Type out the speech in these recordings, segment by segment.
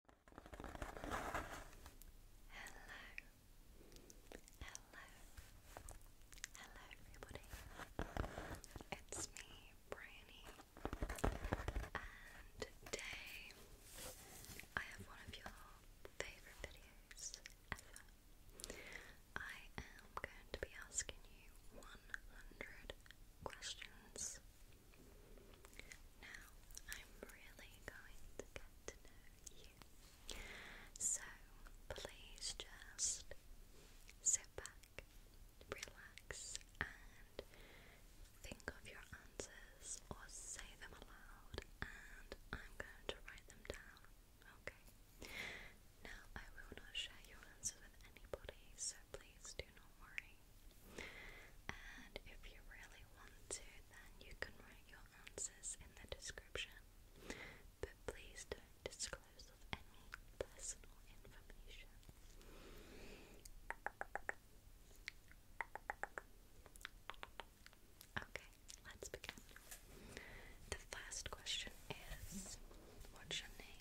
hello, hello everybody, it's me, Brianny, and today I have one of your favourite videos ever. I am going to be asking you 100 questions now, I'm really going to get to know you. So, please just sit back, relax, and think of your answers or say them aloud, and I'm going to write them down, okay? Now, I will not share your answers with anybody, so please do not worry. And if you really want to, then you can write your answers in the description. But please don't disclose any personal information. Okay, let's begin. The first question is What's your name?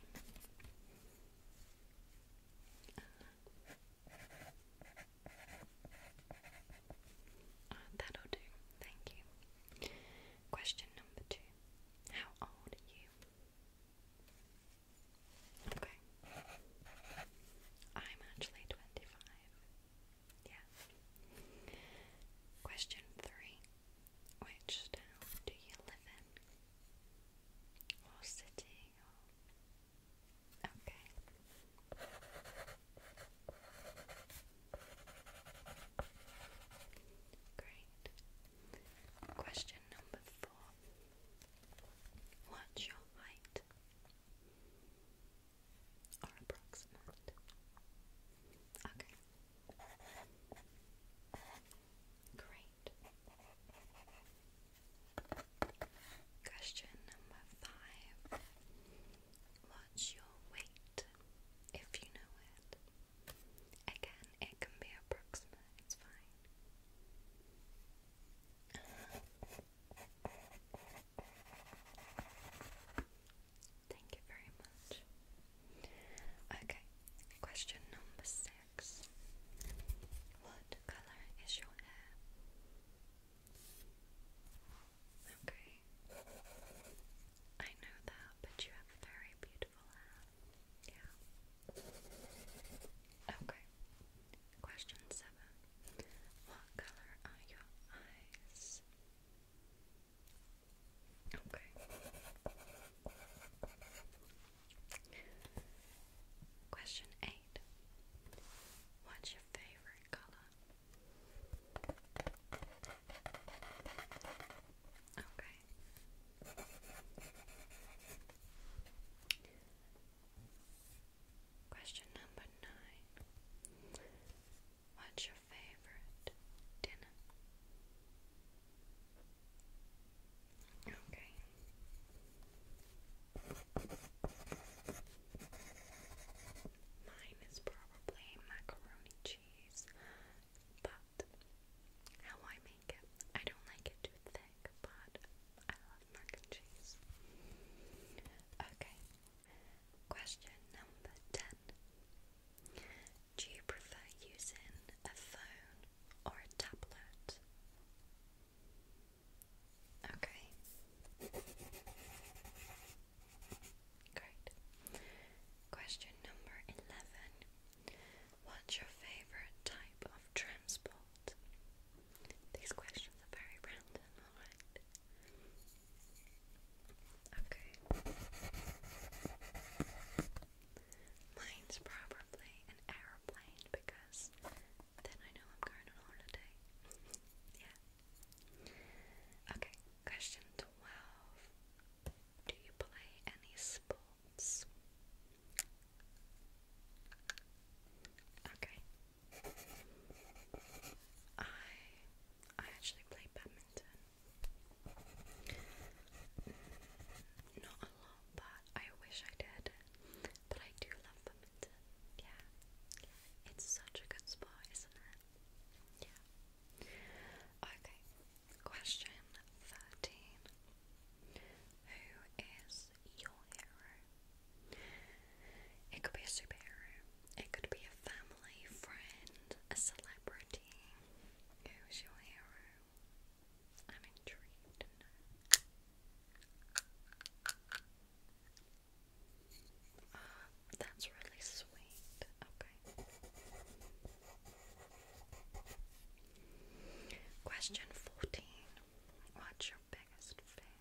that'll do. Thank you. Question number two. How old are you? Okay. I'm actually 25. Yeah. Question three. Which do you live in? Or city? Okay. Great. Question number four. What's your height? Or Okay. Great. Question number five What's your weight if you know it? Again, it can be approximate, it's fine. Thank you very much. Okay, question number six. What color is your hair? Okay. I know that, but you have very beautiful hair. Yeah. Okay. Question seven. What color are your eyes? Okay. Question 8. What's your favorite color? Okay. Question number 9. What's your favorite dinner? Okay. Mine is probably macaroni cheese, but how I make it, I don't like it too thick, but I love mac and cheese. Okay. Question number 10. Do you prefer using a phone or a tablet? Okay. Great. Question number 11. What's your favorite type of transport? These questions are very random, Okay. Mine's probably an aeroplane because then I know I'm going on holiday. yeah. Okay, question 12. Do you play any sports? Okay. I I actually play badminton. Not a lot, but I wish I did. But I do love Bumington. Yeah. It's such a good spot, isn't it? Yeah. Okay. Question 13. Who is your hero? It could be a superhero. It could be a family, friend, a celebrity. Who's your hero? I'm intrigued ah, that's really sweet. Okay. Question 14. What's your biggest fear?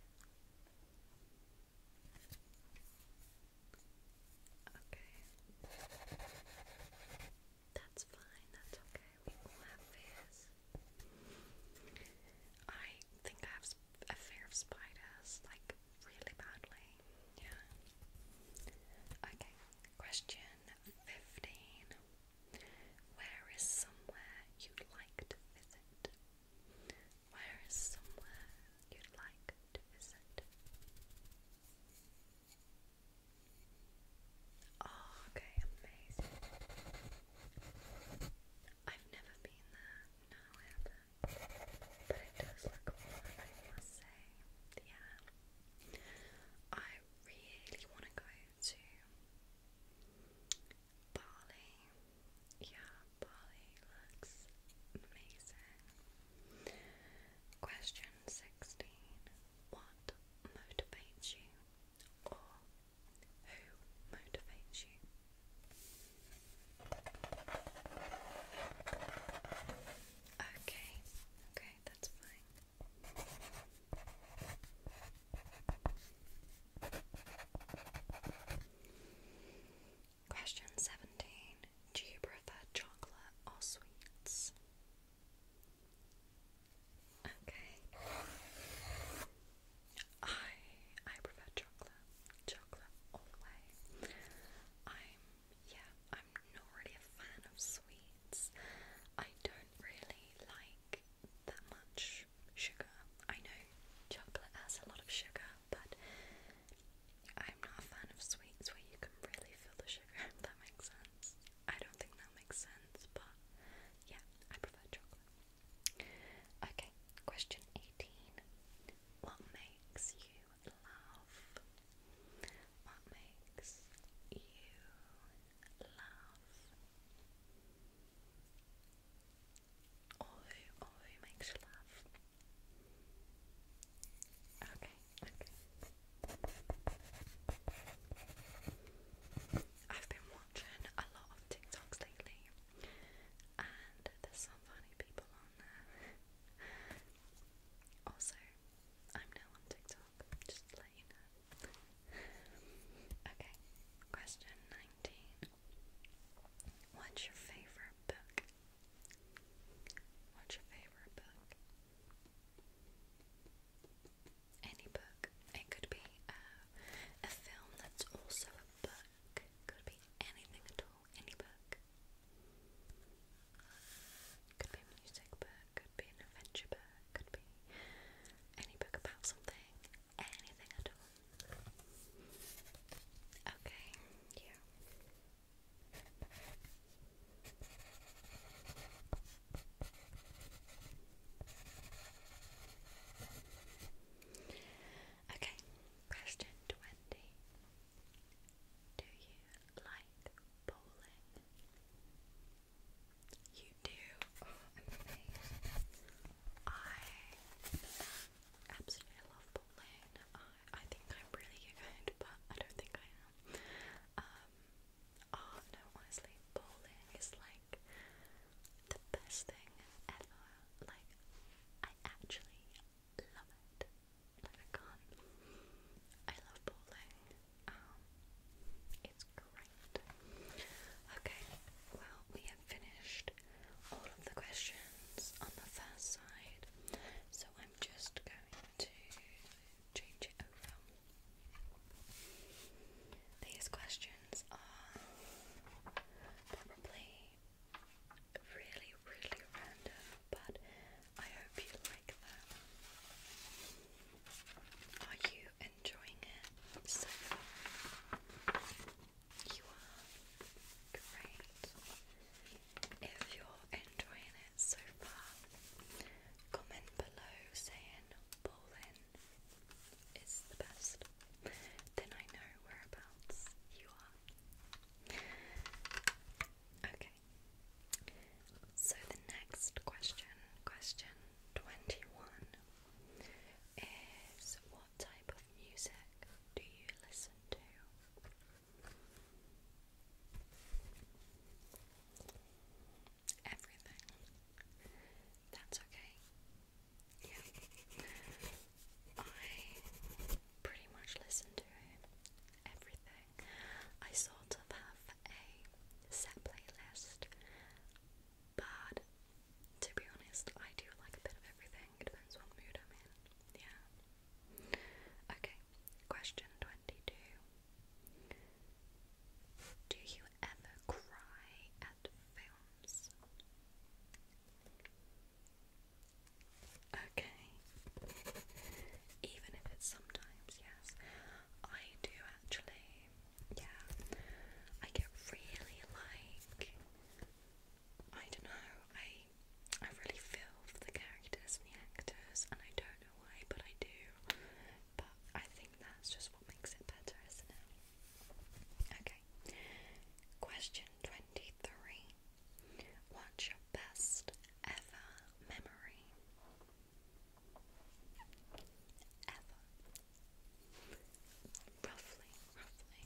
Okay. That's fine, that's okay we I think I have a fear of spiders, like really badly. Yeah. Okay, question 15. Where is somewhere you'd like to visit? Where is somewhere you'd like to visit? Ah, okay, amazing. I've never been there, no, I haven't. But it does look fun, I must say. Yeah. I really want to go to Bali. Yeah, Bali looks amazing. Question 16. What motivates you who motivates you. Okay, okay, that's fine. Question 17 Do you prefer chocolate or sweets? Okay. I I prefer chocolate. Chocolate all the way. I'm yeah, I'm not really a fan of sweets. I don't really like that much sugar. I know chocolate has a lot of sugar, but I'm not a fan of sweets where you can really feel the sugar, that makes sense. I don't think that makes sense, but yeah, I prefer chocolate. Okay, question 18. What makes you laugh? What makes you laugh? Or who, makes you laugh? Okay, watching a lot of TikToks lately, and there's some funny people on there. also, I'm now on TikTok, just let you know. okay, question 19. What's your favourite book? What's your favourite book? any book. It could be uh, a film that's also a book. Could be anything at all, any book. Could be a music book, could be an adventure book, could be any book about something, anything at all. Okay, yeah. Okay, question 20. Do you like bowling? You do? Oh, i I absolutely love bowling. I, I think I'm really good, but I don't think I am. Um, Oh no, honestly, bowling is like the best thing ever. Like, I actually love it. Like, I can't. I love bowling. Um, it's great. Okay, well, we have finished all of the questions on the first side, so I'm just going to change it over. These questions are probably really, really random, but I hope you like them. Are you enjoying it so far? You are great. If you're enjoying it so far, comment below saying Bowling is the best, then I know whereabouts you are. Okay, so the next question, question 21, is what type of music do you listen to? everything. That's okay. Yeah. I pretty much listen to everything. I sort of have a set playlist, but to be honest, I do like a bit of everything. It depends what mood I'm in. Yeah. Okay, question 22. Do you ever cry at films? Okay. Even if it's sometimes, yes. I do actually. Yeah. I get really like I don't know, I I really feel for the characters and the actors and I don't know why, but I do but I think that's just what makes it better, isn't it? Okay. Question 23. What's your best ever memory? Ever. Roughly, roughly.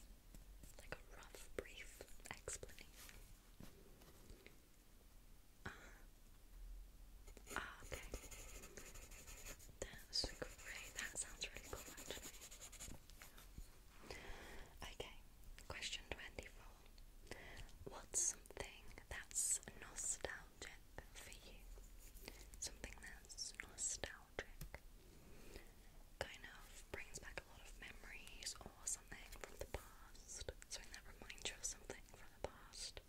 Like a rough, brief explanation. Uh-huh okay. That's great. That sounds really cool, Okay, question 24. What's something that's nostalgic for you? Something that's nostalgic. Kind of brings back a lot of memories or something from the past. Something that reminds you of something from the past first.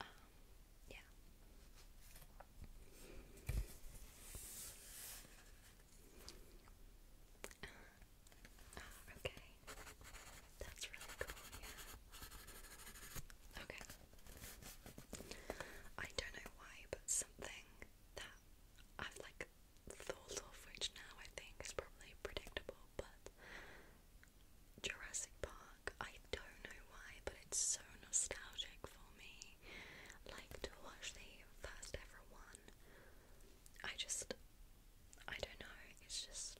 Um, yeah. Uh, okay. That's really cool, yeah. Okay. I don't know why, but something that I've like thought of, which now I think is probably predictable, but Jurassic Park. I don't know why, but it's so nostalgic for me. Like to watch the first ever one. I just, I don't know, it's just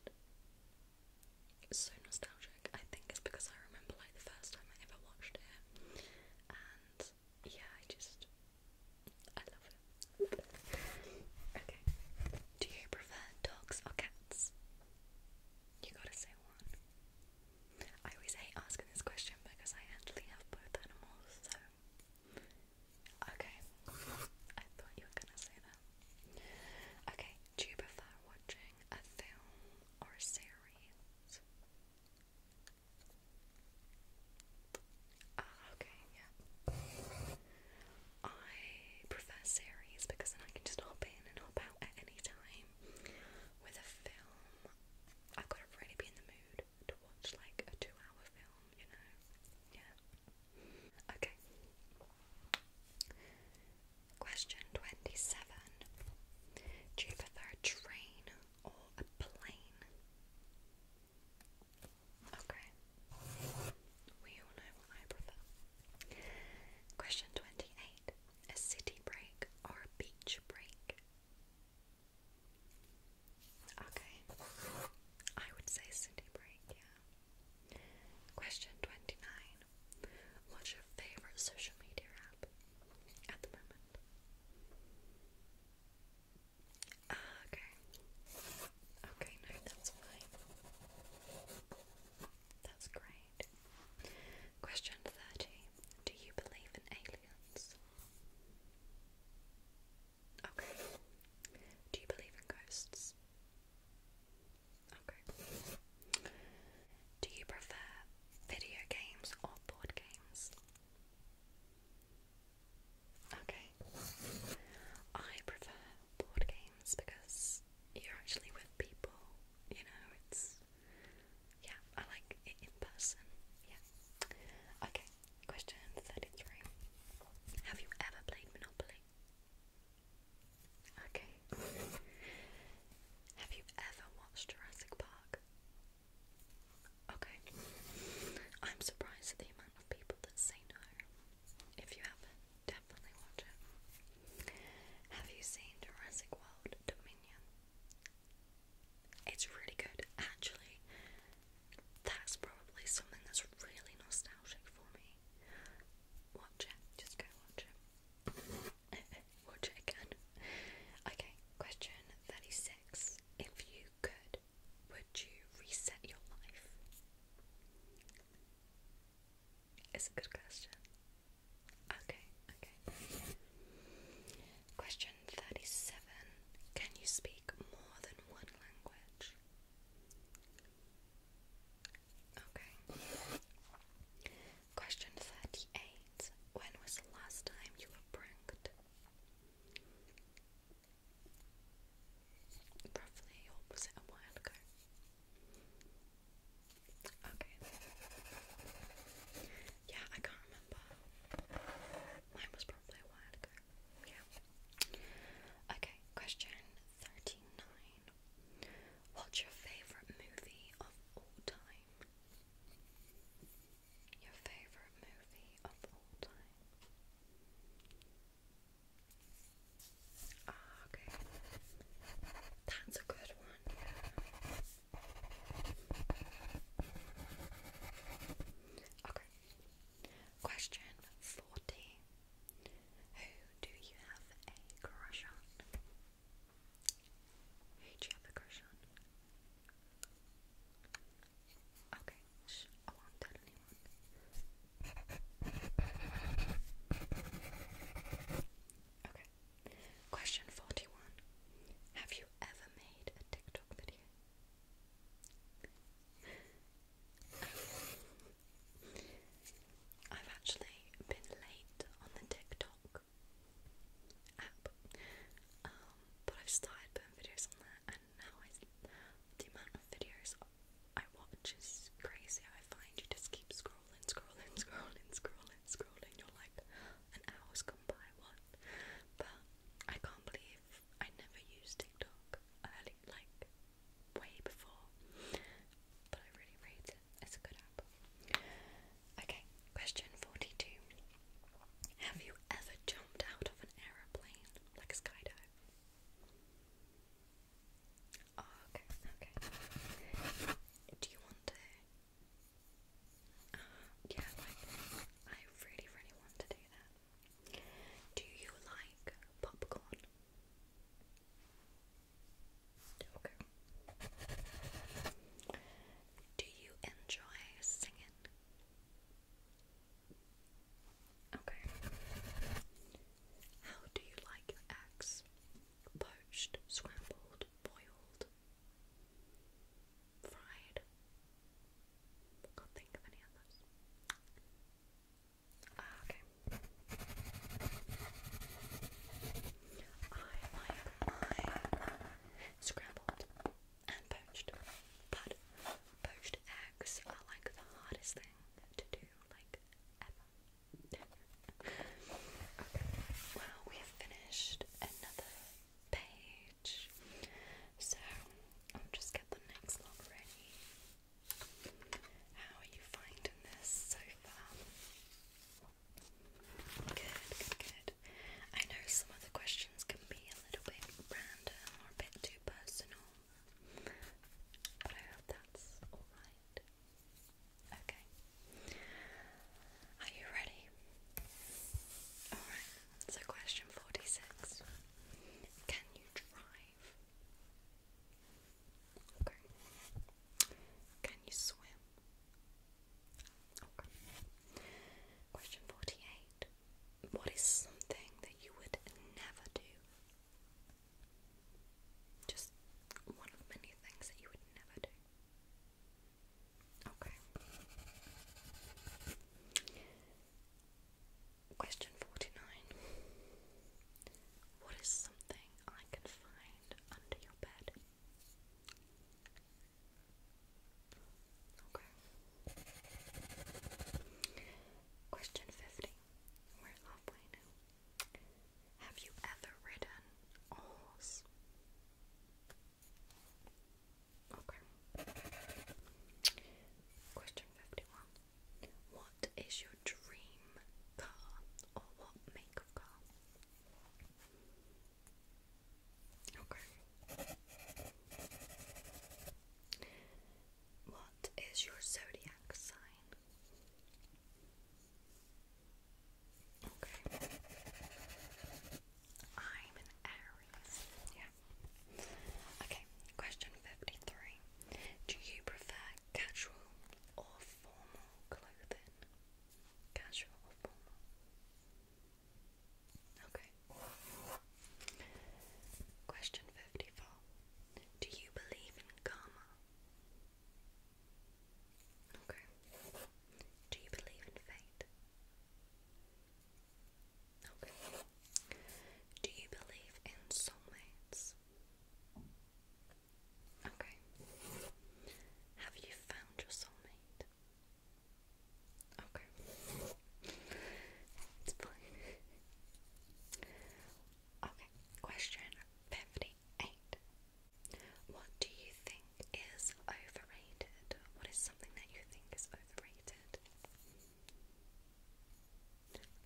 so nostalgic. I think it's because I remember like the first time I ever watched it. And yeah, I just, I love it. okay. Do you prefer dogs or cats? You gotta say one. I always hate asking this question because I actually have both animals, so. Okay. I thought you were gonna say that. Okay, do you prefer watching a film or a series? Ah, okay, yeah. I prefer series because then I can just hop in and hop at any time. With a film, I've got to really be in the mood to watch like a two hour film, you know? Yeah. Okay. Question 27 Do you prefer a train or a plane? Okay. We all know what I prefer. Question 28 A city break or a beach break? Okay. I would say city break, yeah. Question 29 What's your favorite social media app at the moment? Uh, okay. Okay, that's fine. That's great. Question 30. Do you believe in aliens? Okay. Do you believe in ghosts? Okay. Do you prefer video games or board games? Okay. I prefer board games because you're actually with people, you know, it's yeah, I like it in person. Yeah. Okay, question 33. Have you ever played Monopoly? Okay. Have you ever watched Jurassic Park? Okay. I'm surprised at the amount of people that say no. If you haven't, Definitely watch it. Have you seen Jurassic World Dominion? It's really good. Actually, that's probably something that's really nostalgic for me. Watch it. Just go watch it. watch it again. Okay, question 36. If you could, would you reset your life? It's a good question. Okay, okay. Question 37. Can you speak more than one language? Okay. Question 38. When was the last time you were pranked? Roughly, or was it a while ago? Okay. Yeah, I can't remember. Mine was probably a while ago. Yeah. Okay, question 39. What's your favourite movie of all time? Your favourite movie of all time? Ah, okay. That's a good one, Okay. Question 40. Who do you have a crush on? Who do you have a crush on? Okay, I won't tell anyone. Okay. Question 41. Have you ever made a TikTok video? I've actually been late on the TikTok app, um, but I've started putting videos on there, and now the amount of videos I watch is crazy. I find you just keep scrolling, scrolling, scrolling, scrolling, scrolling. You're like, an hour's gone by, what? But I can't believe I never used TikTok early, like way before. But I really rate it. It's a good app. Okay, question 42. Have you ever jumped out of an aeroplane like a skydive? Oh, okay, okay. Do you want to? Uh, yeah, like I really, really want to do that. Do you like popcorn? Okay. Do you enjoy singing? Okay. How do you like your eggs? Poached, scrambled, boiled, fried. Can't think of any others. Ah, okay. I like my scrambled and poached, but poached eggs are like the hardest thing to do, like ever okay. Well, we have finished another page, so I'll just get the next lot ready. How are you finding this so far? Good, good, good. I know some of the questions can be a little bit random or a bit too personal, but I hope that's alright. Okay. Are you ready? Alright, so question 46. Can you drive? Okay. Can you swim? Okay. Question 48. What is something that you would never do just one of many things that you would never do. Okay. Question 49. What is something I can find under your bed? Okay. Question 50. We're halfway now. Have you ever ridden horse? Okay. Question 51. What is your dream car or what make of car? Okay. What is your zodiac sign? Okay. I'm an Aries. Yeah. Okay, question 53. Do you prefer casual or formal clothing? Casual or formal? Okay. Question 54. Do you believe in karma? Okay. Do you believe in fate? Okay. Do you believe in soulmates? Okay. Have you found your soulmate? Okay. it's fine. Okay, question 58. What do you think is overrated? What is something that you think is overrated?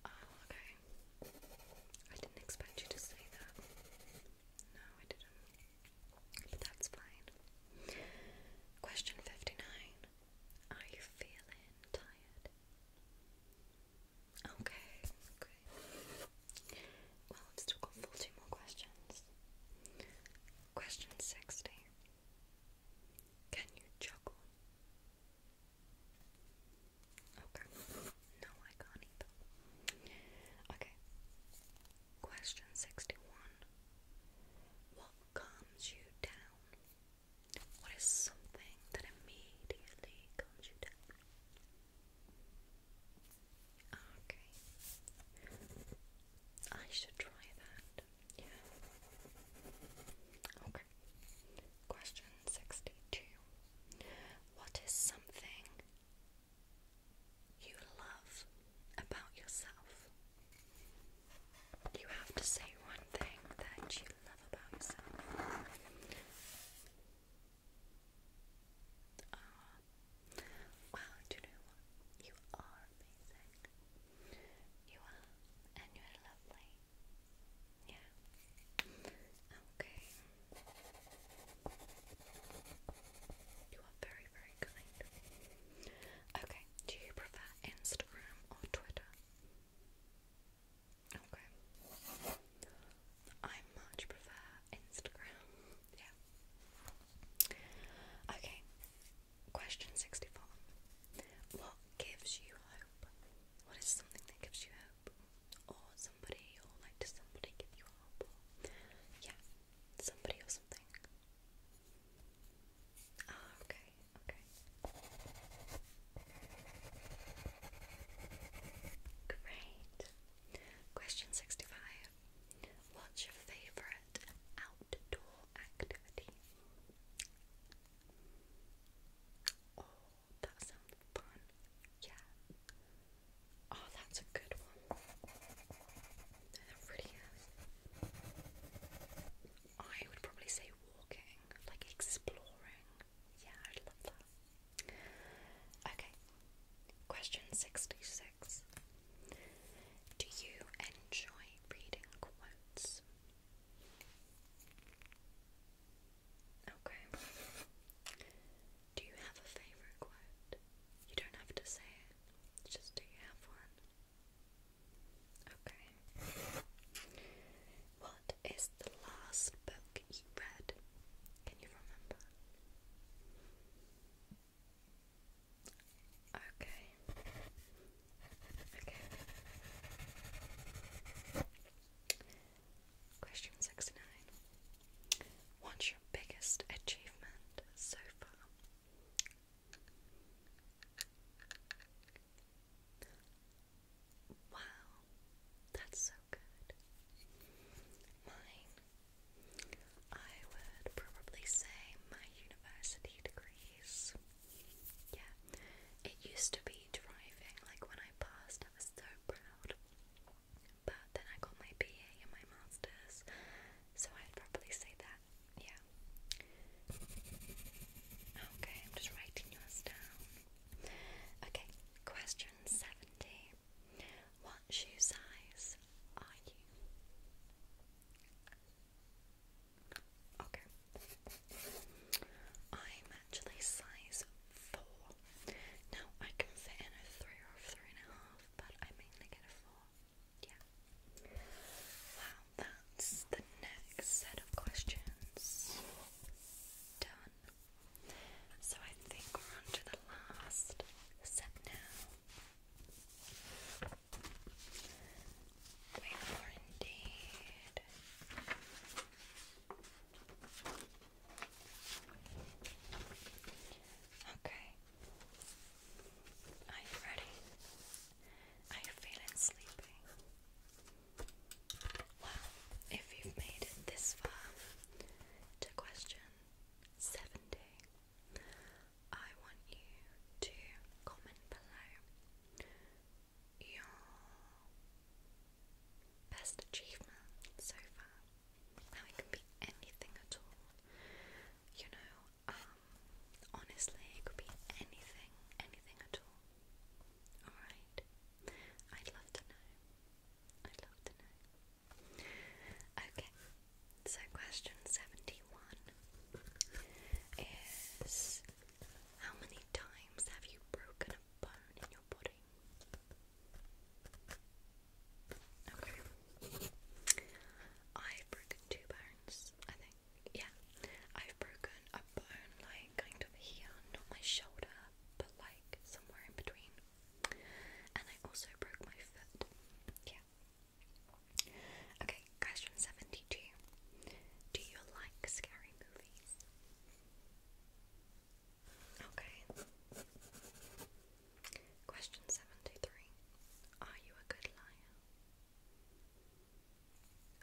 Oh, okay. I didn't expect you to say that. No, I didn't. But that's fine. Question 59. Are you feeling tired? Okay, Well, I've still got 40 more questions. Question 60. Can you juggle? Okay. No, I can't either. Okay. Question 61. What calms you down? What is something that immediately calms you down? Okay. I should try that. Yeah. Okay. Question 62. What is something you love about yourself? You have to say one thing that you love about yourself. Ah, uh, wow, do you know what? You are amazing. You are, and you are lovely. Yeah. Okay. You are very, very kind. Okay, do you prefer Instagram or Twitter? Okay. I much prefer Instagram. Yeah. Okay. Question 64. What gives you hope? What is something that gives you hope? Or somebody, or like, does somebody give you hope? yeah, somebody or something. Ah, okay, okay. Great. Question 65. What's your favorite outdoor activity? Oh, that sounds fun. Yeah. Oh, that's a good one. That really is. I would probably say walking, like exploring. Yeah, I love that. Okay, question 66 Do you enjoy reading quotes? Okay. Do you have a favourite quote? You don't have to say it, just do you have one? Okay. What is the last book you read? Can you remember? Okay. Okay. Question 69. What's your biggest achievement so far? Wow, that's so good. Mine, I would probably say my university degrees. Yeah, it used to be driving, like when I passed, I was so proud. But then I got my BA and my master's, so I'd probably say that, yeah. Okay, I'm just writing yours down. Okay, question 70. What shoe size are you? Okay. I'm actually size 4. Now, I can fit in a 3 or a but I mainly get a 4. Yeah. Wow, that's the next set of questions done one. So I think we're on the last set now. Wait for indeed. Okay. Are you ready? Are you feeling sleepy? Well, if you've made it this far to question 70, I want you to comment below your best achievement so far. Now, it can be anything at all, you know, um, honestly, it could be anything, anything at all. Alright? I'd love to know. I'd love to know. Okay, so question 71 is How many times have you broken a bone in your body? Okay. I've broken two bones, I think. Yeah. I've broken a bone like kind of here, not my shoulder, but like somewhere in between. And I also broke my foot. Yeah. Okay, question 72. Do you like scary movies? Okay. Question 73. Are you a good liar?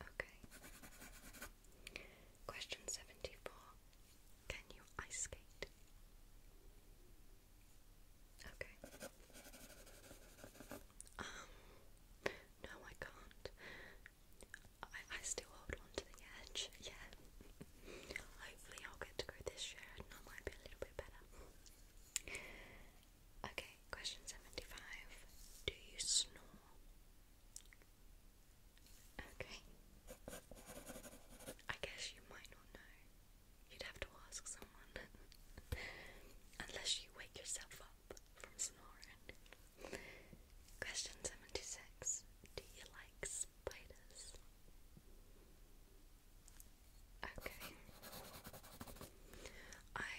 Okay. Question 74. Can you ice skate? Okay. Um, no, I can't. I, I still hold on to the edge, yeah. Hopefully, I'll get to go this year and I might be a little bit better. Okay, question 75. Do you snore? Okay. I guess you might not know. You'd have to ask someone. Unless you wake yourself up from snoring. Question 76 Do you like spiders? Okay. I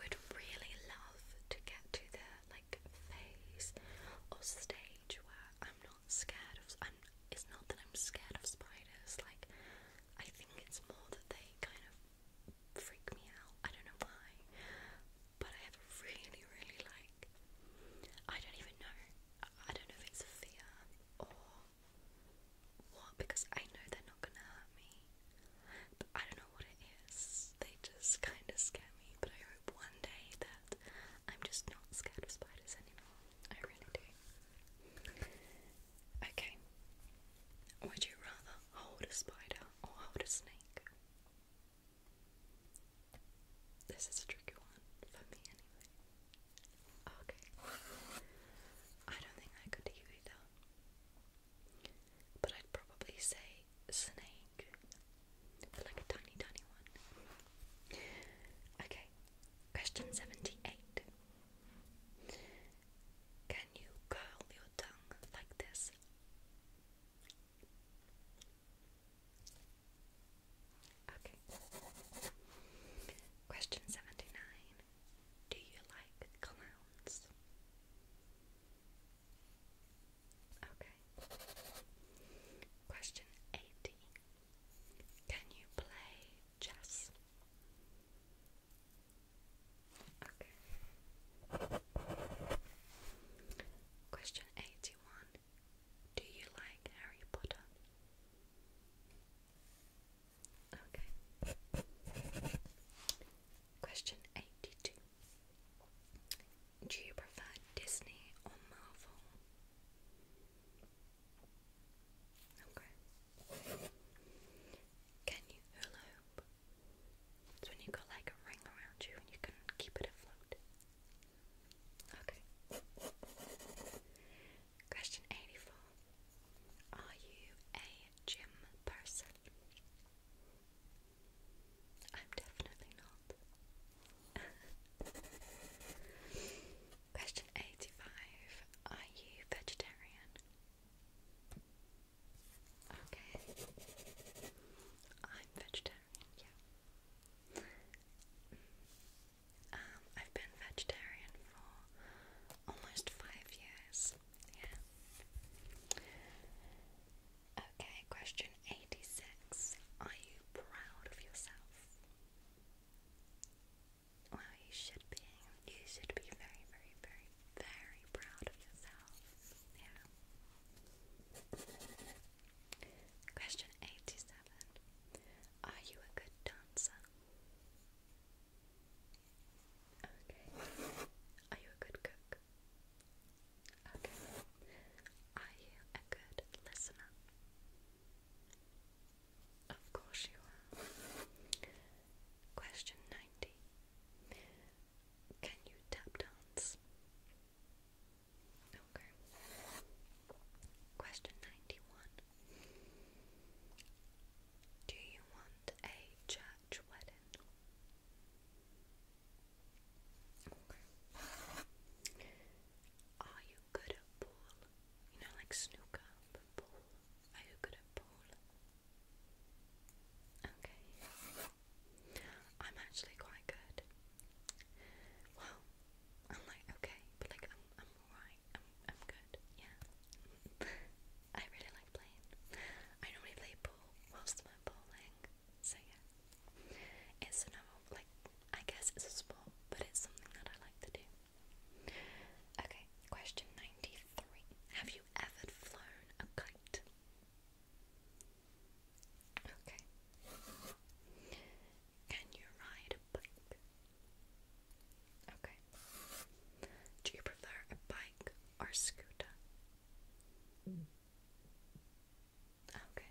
would really love to get to the like phase or stage where I'm not scared of. I'm, it's not that I'm scared of spiders. Like I think it's more that they kind of freak me out. I don't know why, but I have really, really like. I don't even know. I don't know if it's fear or what because I know they're not gonna hurt me. But I don't know what it is. They just kind of scare me. But I hope one day that I'm just not scared of spiders anymore. I really do. Okay. Would you rather hold a spider or hold a snake? This is a tricky one for me, anyway. Okay. I don't think I could either. But I'd probably say snake. like a tiny, tiny one. Okay, question 78. Can you curl your tongue like this? Okay. Question 79. Do you like clowns? Okay. Question 80. Can you play chess? Okay. Question 81. Do you like Harry Potter? Okay. Question 82 Do you prefer Disney or Marvel? Okay. Can you hula It's when you've got like a ring around you and you can keep it afloat. Okay. Question 84 Are you a gym person? I'm definitely not. Question 85 Are you vegetarian? Okay. I'm vegetarian, yeah. Um, I've been vegetarian for almost five years, yeah. Okay, question 86. Are you proud of yourself? Well, you should be. You should be very, very, very, very proud of yourself. Yeah. Question 87. Are you a good dancer? Okay. Are you a good cook? Okay. Are you a good listener? Of course you are. Question 90. Can you tap dance? Okay. Question 91. Do you want a church wedding? Are you good at pool? You know, like snooker, pool. Are you good at pool? Okay. I'm actually quite good. Well, I'm like okay, but like I'm I'm alright. I'm I'm good. Yeah. I really like playing. I normally play pool whilst I'm bowling. So yeah, it's another like I guess it's a sport, but it's something that I like to do. Okay, question ninety-three: Have you ever flown a kite? Okay. Can you ride a bike? Okay. Do you prefer a bike or a scooter? Ah, okay.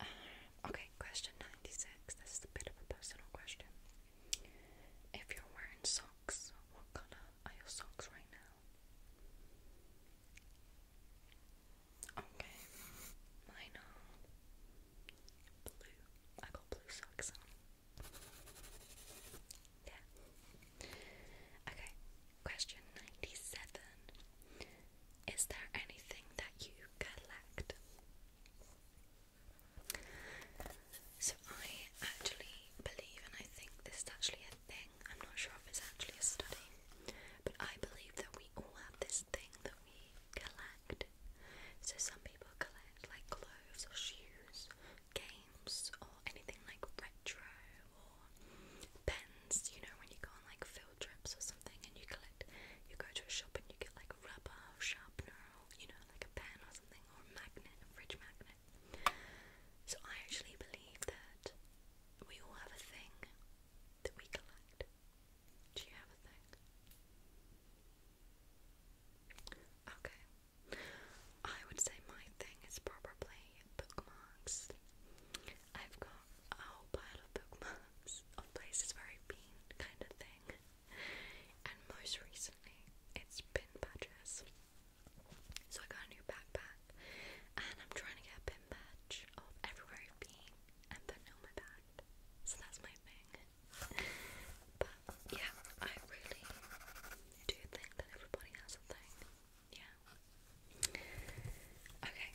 Ah, okay, question 96. This is a bit of a personal question. If you're wearing socks, what color are your socks right now? Okay, mine are blue. I got blue socks on. Yeah. Okay, question 97. Is there anything that you collect? So, I actually believe, and I think this is actually a thing, I'm not sure if it's actually a study, but I believe that we all have this thing that we collect. So, some people collect like clothes or shoes, games or anything like retro or pens, you know, when you go on like field trips or something and you collect, you go to a shop and you get like rubber or sharpener or, you know, like a pen or something or a magnet, a fridge magnet. So I actually believe that we all have a thing that we collect. Do you have a thing? Okay, I would say my thing is probably bookmarks. I've got a whole pile of bookmarks of places I've been, kind of thing. And most recently, it's pin badges. So I got a new backpack, and I'm trying to get pin badge of everywhere I've been and put it on my bag. So that's my thing. But yeah, I really I do think that everybody has a thing. Yeah. Okay.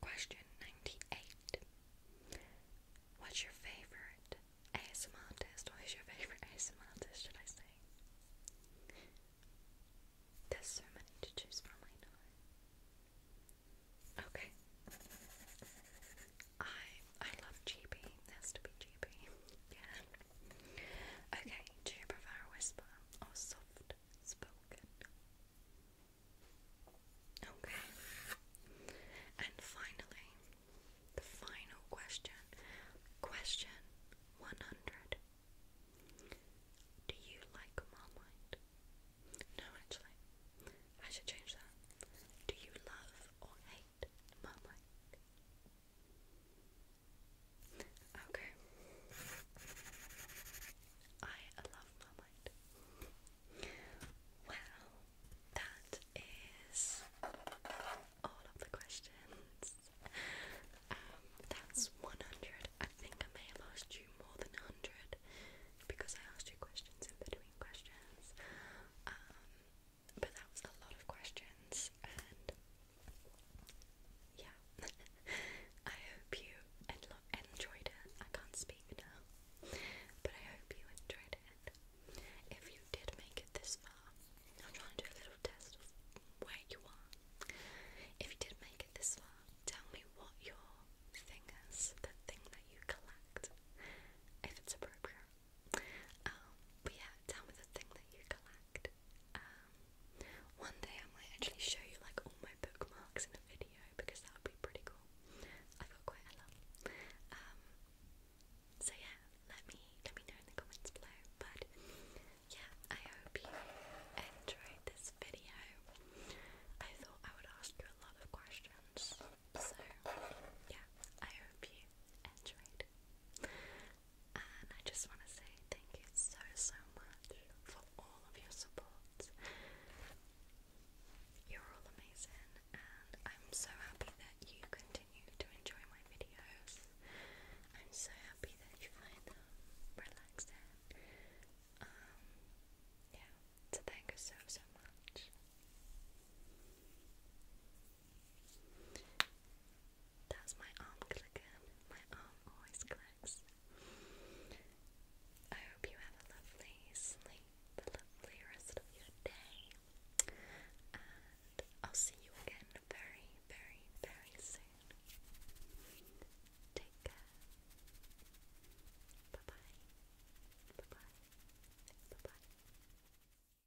Question 98. What's your favorite ASMR artist? What is your favorite ASMR artist, should I say? There's so many to choose from, Okay. I I love Chibi. It has to be GB. Yeah. Okay, do you prefer whisper or soft spoken? Okay. And finally, the final question. Question 100. Do you like Marmite? No, actually. I should change that. Do you love or hate Marmite? Okay. I love my mind. Well, that is all of the questions. Um, that's 100. I think I may have asked you more than 100 because I asked you questions in between questions. Um, but that was a lot of questions, and yeah, I hope you enjoyed it. I can't speak now, but I hope you enjoyed it. If you did make it this far, I'm trying to do a little test of where you are. If you did make it this far, tell me what your thing is, the thing that you collect, if it's appropriate. Um, but yeah, tell me the thing that you collect. Um, one day I might actually show you like all my bookmarks in a video because that would be pretty cool. I've got quite a lot. Um, so yeah, let me let me know in the comments below. But yeah, I hope you enjoyed this video. I thought I would ask you a lot of questions. So yeah, I hope you enjoyed and I just want to say thank you so so much for all of your support. You're all amazing, and I'm so happy that you continue to enjoy my videos. I'm so happy that you find them relaxing. Um, yeah, so thank so so much. That's my arm clicking. My arm always clicks. I hope you have a lovely sleep, a lovely rest of your day. And I'll see you again very, very, very soon. Take care. Bye bye. Bye bye. Bye bye.